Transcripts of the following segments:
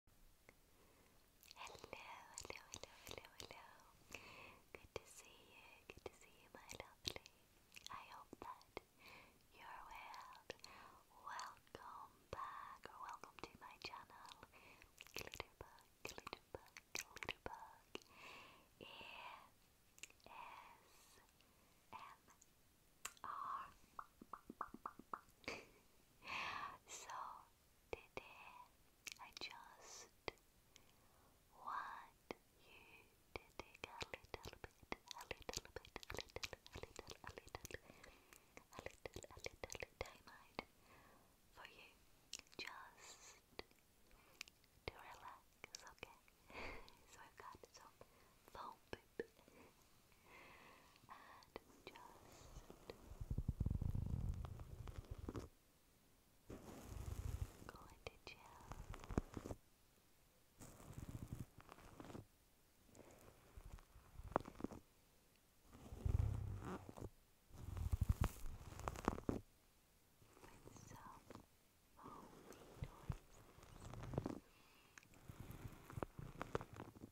Hello, hello, hello, hello, hello. Good to see you, good to see you, my lovely. I hope that you're well. Welcome back, or welcome to my channel, Glitterbug, Glitterbug, Glitterbug. E S M R so today I just want you to take a little bit, a little bit, a little, a little, a little, a little, a little time out for you. Just to relax, okay? so I've got some foam clip and just go into gel. With some foamy noises.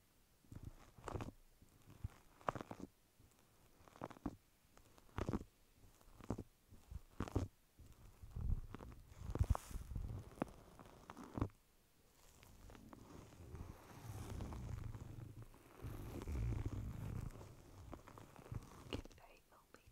Get very bumpy.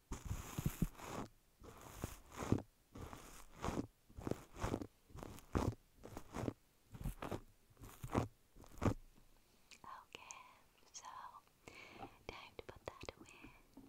Okay, so time to put that away.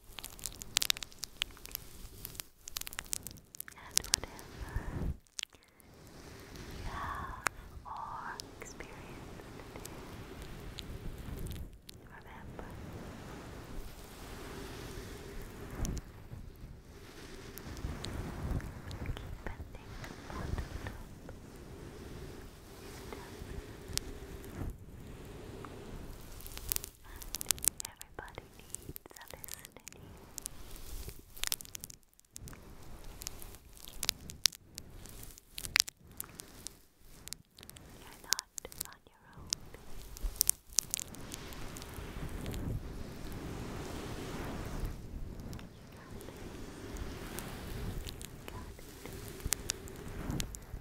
And whatever you have or experienced remember keep bending on the top is down. Everybody needs a listening. You're not on your own.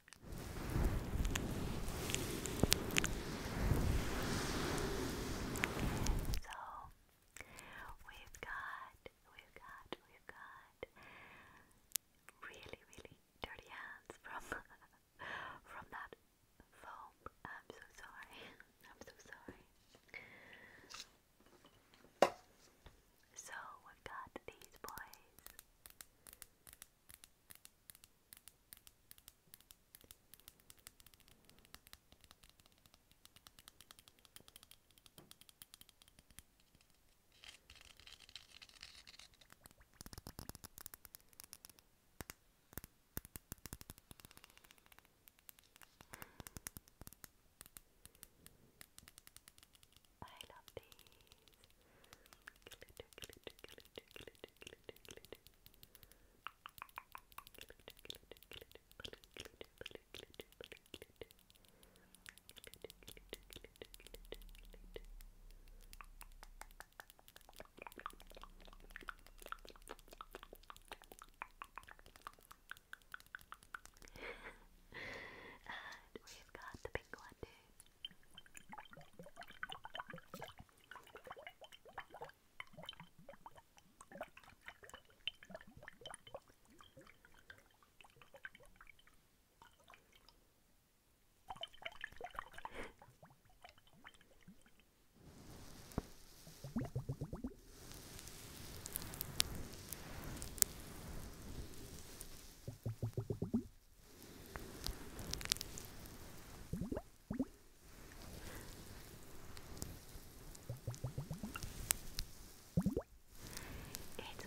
So we've got, we've got, we've got really, really dirty hands from from that foam. I'm so sorry. I'm so sorry. So we've got these boys. I love these. Glitter, glitter, glitter, glitter, glitter, glitter. Glitter, glitter, glitter, glitter, glitter, glitter, glitter, glitter, glitter. Glitter, glitter, glitter, glitter, glitter. Glitter, glitter, glitter, glitter, glitter and we've got the pink one too. It's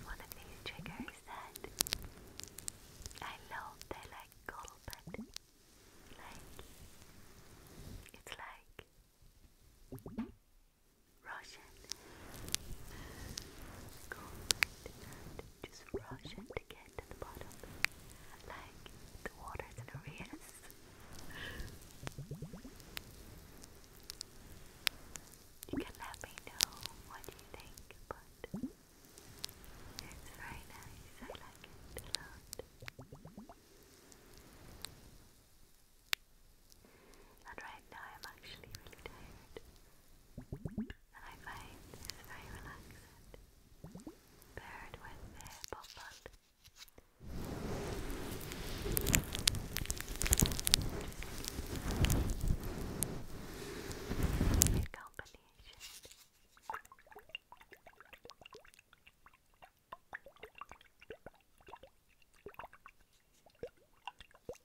one of these triggers that I love. They're like gold, but like it's like Rush it. Go just rush to get to the bottom. Like the water's in arrears. You can let me know what you think, but it's very nice. I like it a lot. And right now I'm actually really tired. And I find this very relaxing. Paired with the pop bud.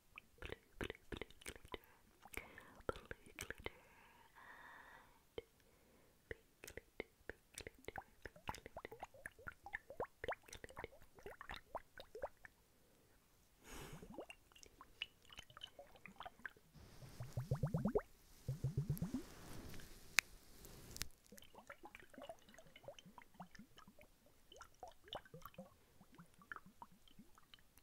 blue, blue, blue glitter, blue glitter, and pink glitter, pink glitter, pink glitter, pink glitter.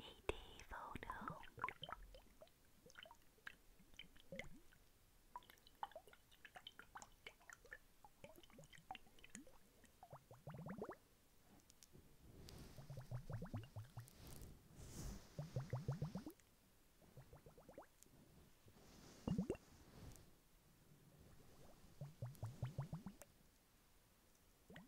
AD photo. So I've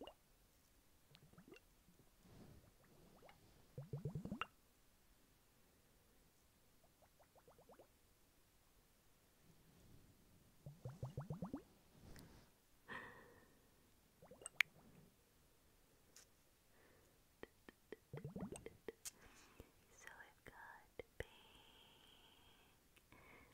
got pink,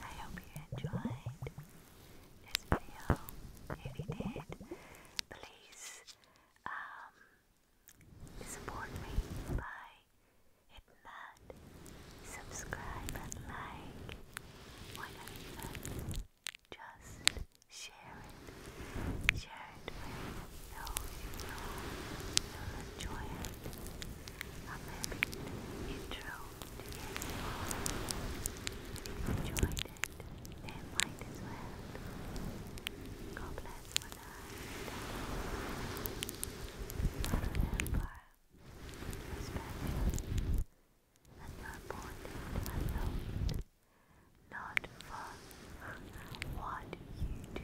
I hope you enjoyed this video. If you did, please um, support me by hitting that subscribe and like. Why just share it? Share nose, you'll enjoy it. I'm happy to intro to ASMR. If you enjoyed it, then might as well. God bless for now. But remember, you're special and you're not for what you do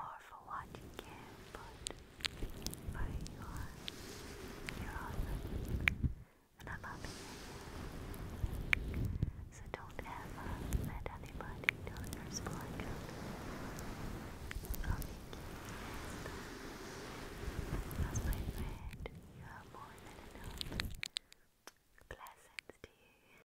or for what you can put but you are you're awesome and I love you so don't ever let anybody tell your spot I'll make you as my friend you are more than enough blessings to you